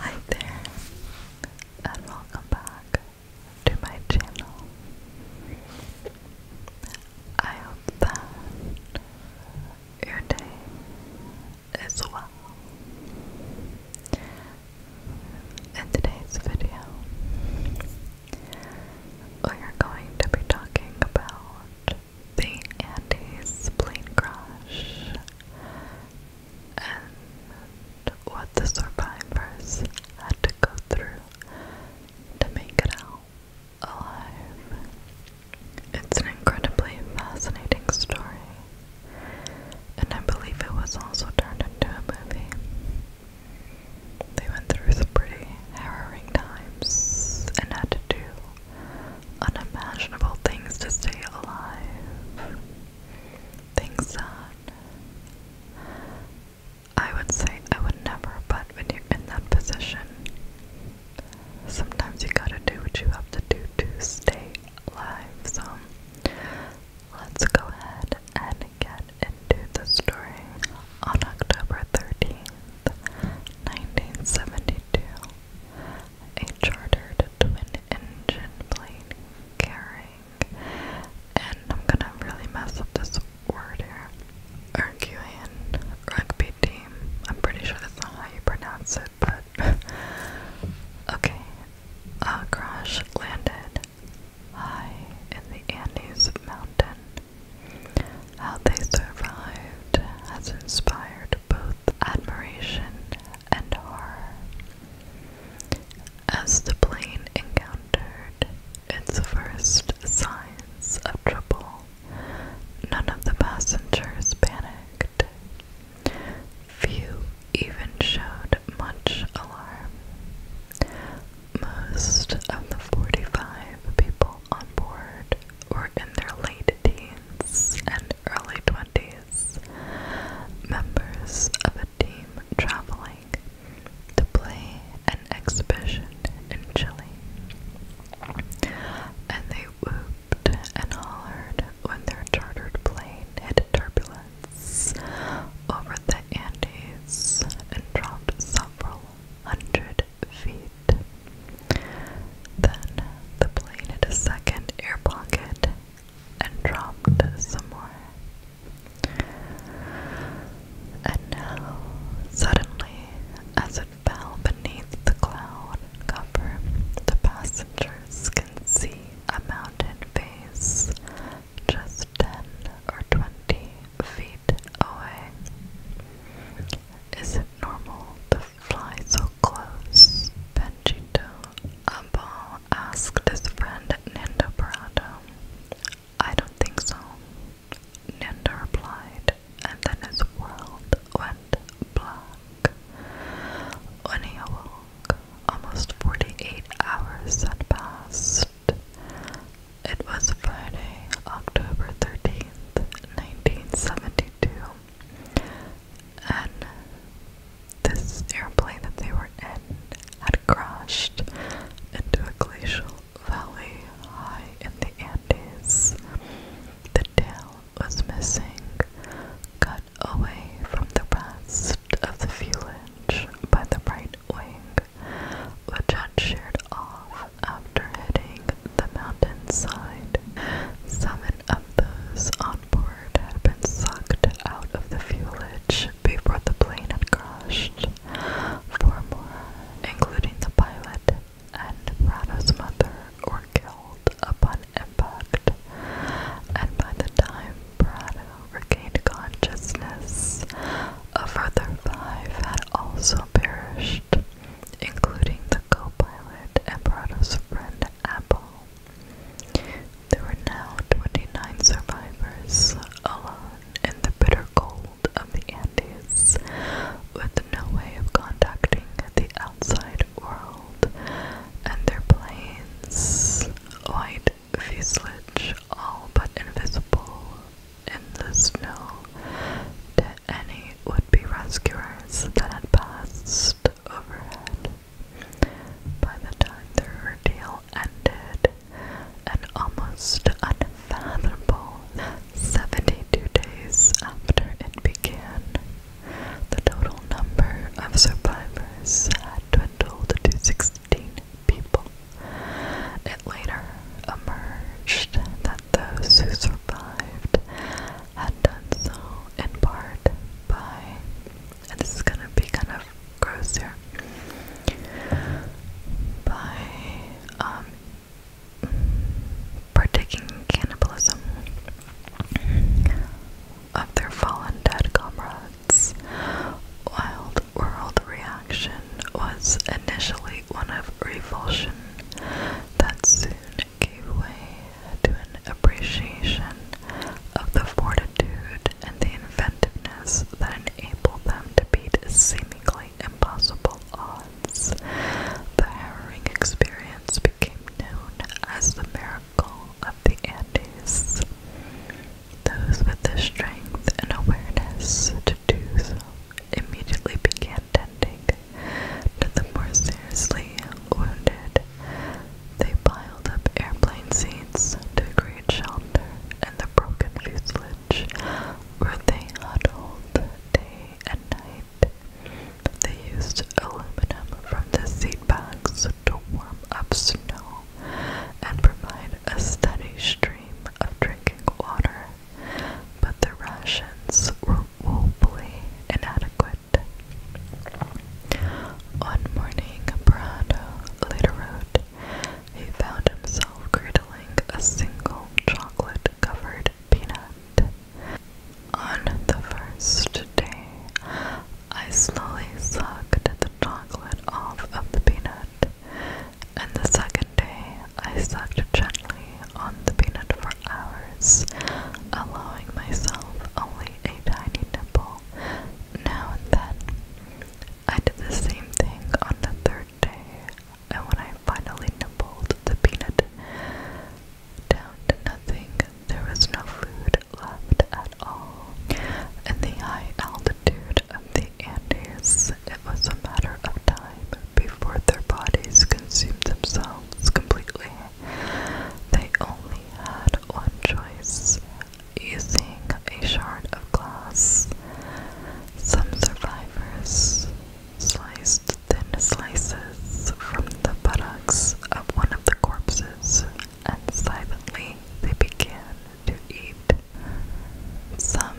Hi there, and welcome back to my channel. I hope that your day is well. In today's video, we are going to be talking about the anti plane crash and what the survivors had to go through to make it out alive. It's an incredibly fascinating story, and I believe it was also turned into a movie. They went through some pretty harrowing times and had to do unimaginable things to stay alive. Things that I would say I would never, but when you're in that position, sometimes you gotta do what you have to do to stay alive. So let's go ahead and get into the story. On October 13th, 1972, a chartered twin-engine plane carrying, and I'm gonna really mess up this word here, Uruguayan rugby team. I'm pretty sure that's not how you pronounce it, but okay. A crash landed high in the Andes mountain. How they survived has inspired both admiration and horror. As the plane encountered its first signs of trouble, none of the passengers panicked. Few even showed much alarm. Most of the 45 people on board were in their late teens and early 20s members of a team traveling to play an exhibition in Chile. And they whooped and hollered when their chartered plane hit turbulence over the Andes and dropped several hundred feet. Then the plane hit a second air pocket and dropped somewhere. And now, suddenly, as it fell beneath the cloud cover, the passengers can see a mountain face just ten or twenty feet away. Is it normal to fly so close, Benjito Abal asked his friend Nanda Prado. I don't think so, Nanda replied, and then his world went black. When he awoke, almost 48 hours had passed. It was Friday, October 13th, 1972, and this airplane that they were in had crashed into a glacial valley high in the Andes. The tail was missing, cut away from the rest of the fuselage by the right wing, which had sheared off after hitting the mountainside. Seven of those onboard had been sucked out of the fuelage before the plane had crashed. Four more, including the pilot and Rada's mother, were killed upon impact, and by the time Brando regained consciousness, a further five had also perished, including the co-pilot and Brando's friend Apple. There were now 29 survivors alone in the bitter cold of the Andes, with no way of contacting the outside world, and their planes, white fuselage, all but invisible in the snow to any would-be rescuers that had passed overhead. By the time their ordeal ended, an almost unfathomable 72 days after it began, the total number of survivors had dwindled to 16 people. It later emerged that those who survived had done so in part by and this is gonna be kind of gross here by um, partaking cannibalism of their fallen dead comrades. Wild World reaction was initially one of revulsion that soon gave way to an appreciation of the fortitude and the inventiveness that enabled them to beat seemingly impossible odds. The harrowing experience became known as the miracle of the Andes. Those with the strength and awareness to do so immediately began tending to the more seriously wounded they piled up airplane seats to create shelter in the broken fuselage where they huddled day and night. They used aluminum from the seat bags to warm up snow and provide a steady stream of drinking water, but the rations were woefully inadequate. One morning, Prado later wrote, he found himself cradling a single chocolate covered peanut. On the first day, I slowly sucked the chocolate off of the peanut, and the second day, I sucked gently on the peanut for hours, allowing myself only a tiny nibble now and then. I did the same thing on the third day, and when I finally nibbled the peanut down to nothing, there was no food left at all. In the high altitude of the Andes, it was a matter of time before their bodies consumed themselves completely. They only had one choice using a shard of glass. Some survivors sliced thin slices from the buttocks of one of the corpses, and silently they began to eat. Some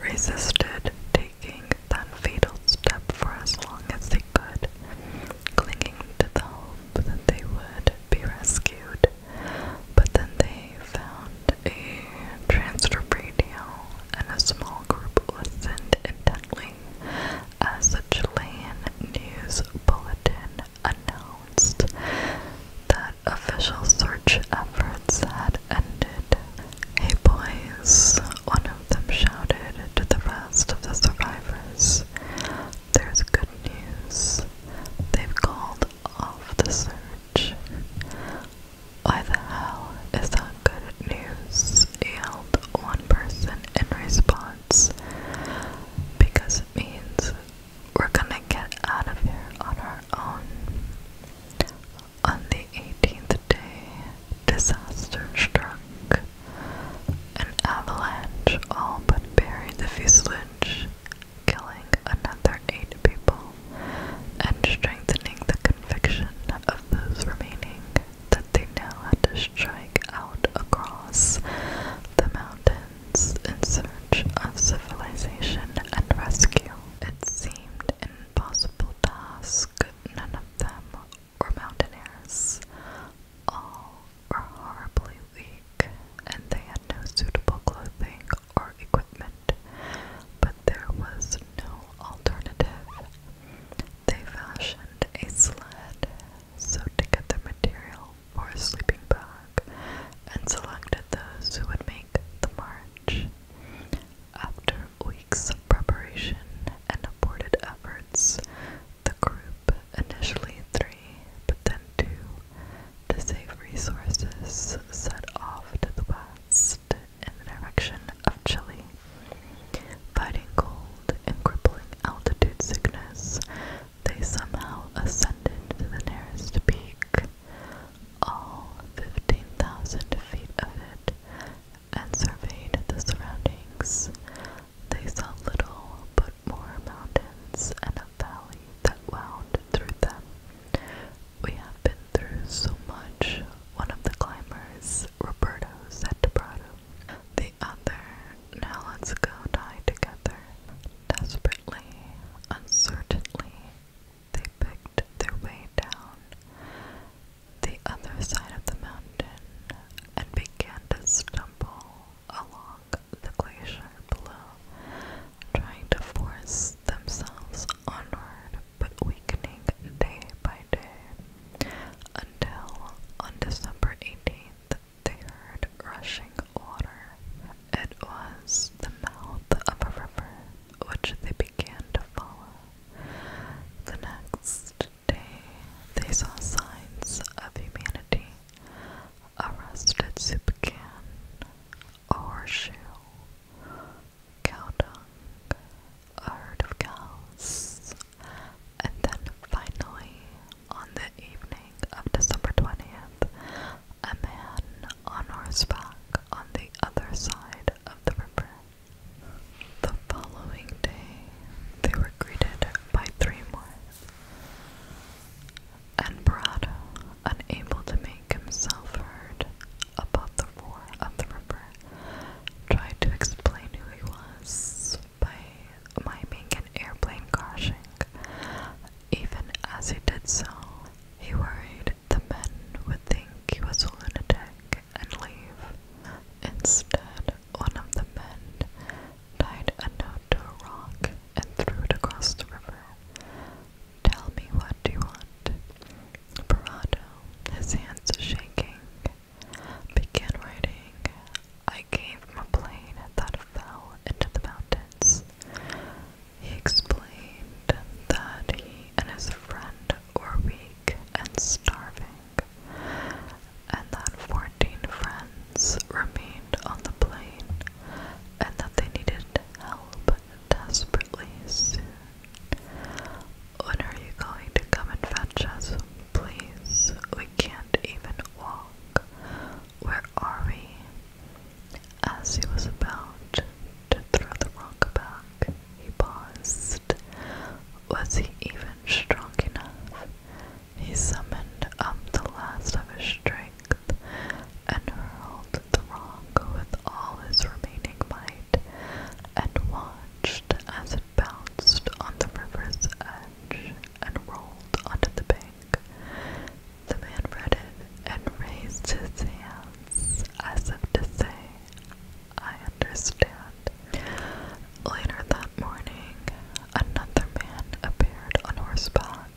resisted taking that fatal step for as long as they could, clinging to the hope that they would be rescued. But then they found a transfer radio and a small group listened intently as a Chilean news bulletin announced that official search efforts had ended. Hey boys, one of them shouted to the rest of the survivors there's good news. They've called off the search. Why the hell is that good news? yelled one person in response. Because it means we're gonna get out of here on our own. On the 18th day, disaster struck. An avalanche all but buried the fuselage, killing another eight people and strengthening the conviction of those remaining that they now had to strike out across the mountains in search of civilization and rescue. It seemed an impossible task. None of them were mountaineers. All were horribly weak, and they had no suitable clothing or equipment, but there was no alternative. They fashioned a sled, so to get the material for a sleeping bag, and selected those who would make the march. After weeks of preparation and aborted efforts, the group group, initially three, but then two, to save resources, set off to the west in the direction of Chile. Fighting cold and crippling altitude sickness, they somehow ascended to the nearest peak, all 15,000 feet of it, and surveyed the surroundings. They saw little but more mountains and a valley that wound through them. We have been through so much, one of the climbers, Roberto, said to Brado. The other, now let's go die together. Desperately, uncertainly, they picked their way down the other side of the mountain and began to stumble along the glacier below, trying to force themselves onward but weakening day by day, until on December 18th they heard rushing water. It was the mouth of a river which they began to follow. The next day they saw signs of humanity a rusted soup can, a horseshoe, cow dung, a herd of cows, and then finally, on the evening of December 20th, a man on horseback on the other side of the river. The following day, they were greeted by three more and Barada, unable to make himself heard above the roar of the river, tried to explain who he was by miming an airplane crashing. Even as he did so, he worried the men would think he was a lunatic and leave. Instead, one of the men tied a note to a rock, and threw it across the river. Tell me what you want. Parado, his hands shaking, began writing. I came from a plane that fell into the mountains. He explained that he and his friend were weak and starving, and that for 14 friends remained on the plane and that they needed help desperately When are you going to come and fetch us? Please, we can't even walk. Where are we? As he was about to throw the rock back, he paused. Was he even strong enough? He summoned up the last of his strength and hurled the rock with all his remaining might, and watched as it bounced on the river's edge and rolled onto the bank. The man read it and raised his hands as if to say, I understand. Later that morning, another man appeared on horseback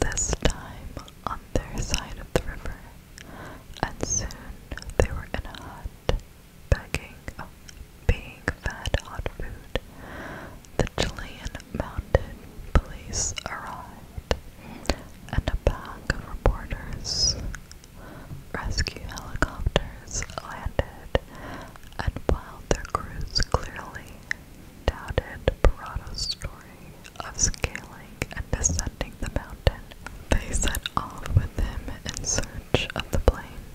this time on their side of the river, and soon they were in a hut, begging, oh, being fed hot food. The Chilean mounted police arrived, and a pack of reporters, rescue helicopters landed, and while their crews clearly doubted Parada's story of scaling and descending the mountain, they set off with him in search of the plane.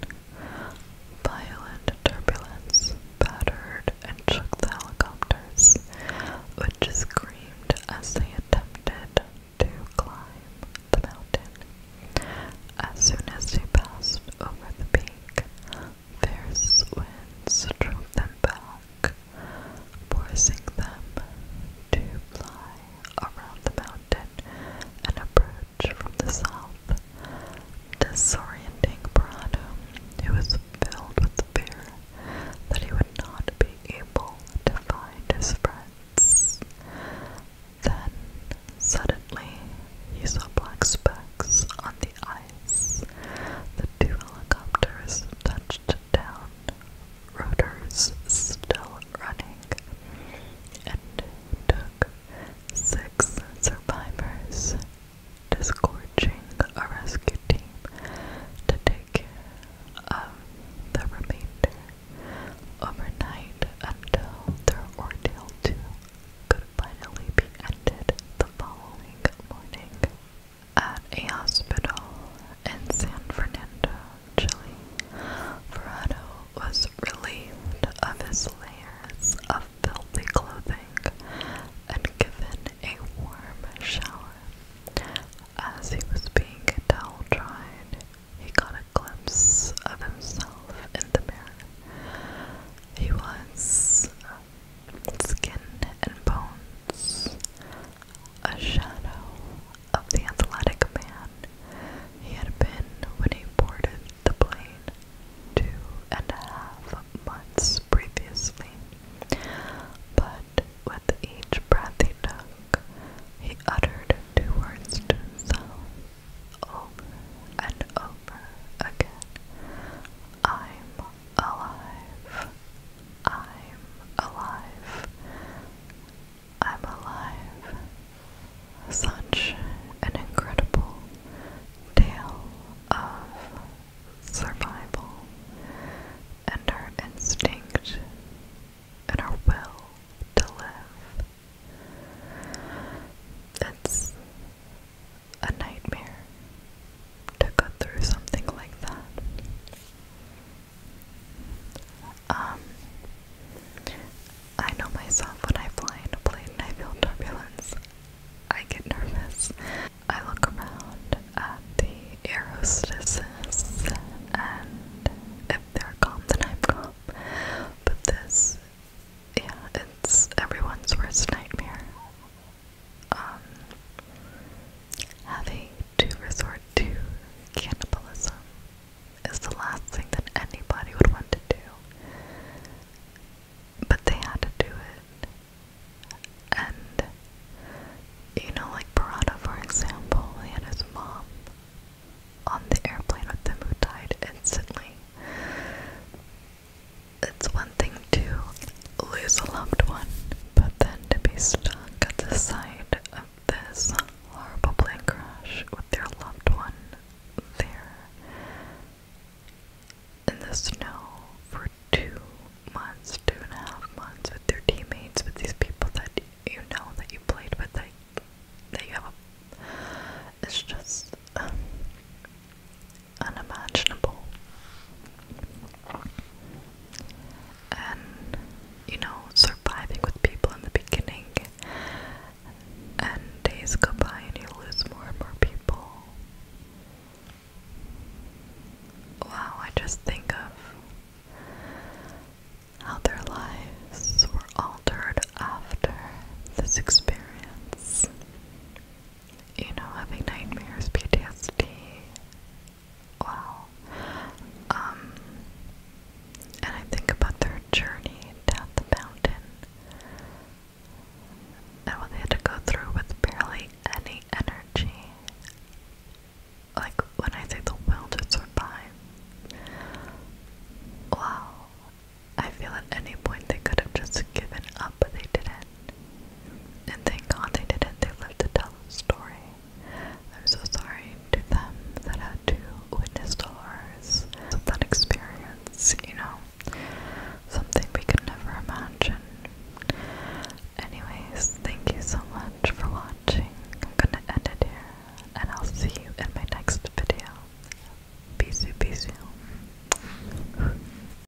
Violent turbulence battered and shook the helicopters, which screamed as they attempted to climb the mountain. As soon as they passed over the peak, fierce winds drove them back, forcing them to fly around the mountain and approach from the south, disorienting Brando, who was filled with fear that he would not be able to find his friends. Then, suddenly, he saw black specks on the ice. The two helicopters touched down, rotors still running, and took six survivors, disgorging the rescue team to take care of the remainder overnight until their ordeal to could finally be ended the following morning at a hospital in San Fernando, Chile. Ferrado was relieved of his layers of filthy clothing and given a warm shower. As he was being towel dried, he got a glimpse of himself in the mirror. He was skin and bones, a shadow of the athletic man he had been when he boarded the plane two and a half months previously. But with each breath he took, he uttered two words to himself over and over again. I'm alive. I'm alive. I'm alive. Such an incredible tale of survival and her instinct and her will to live. It's a nightmare to go through something like that. Um, I know myself when I fly in a plane and I feel turbulence, I get nervous. I look around at the air and if they're calm, then I'm calm. But this, yeah, it's everyone's worst nightmare. Um, having to resort to cannibalism is the last thing that anybody would want to do. But they had to do it. And, you know, like Pirata, for example, he had his mom on the airplane with them who died instantly it's one thing to lose a loved one, but then to be stuck at the side of this horrible plane crash with their loved one there in the snow for two months, two and a half months with their teammates, with these people that you know that you played with, that, that you have a. It's just. Um, unimaginable. And you know, surviving with people in the beginning, and days go by and you lose more and more people. Wow, I just think of how their lives were altered after this experience you know, having nightmares, PTSD. Wow. Um, and I think about their journey down the mountain and what they had to go through with barely any energy. Like, when I say the will to survive, wow. I feel at any point they could have just given up, but they didn't. And thank God they didn't. They lived to tell the story. I'm so sorry to them that had to witness the horrors of that experience, you know. Something we could never imagine. Anyways, thank you so much for watching. I'm gonna end it here, and I'll see you in my next video. Bisous, bisous.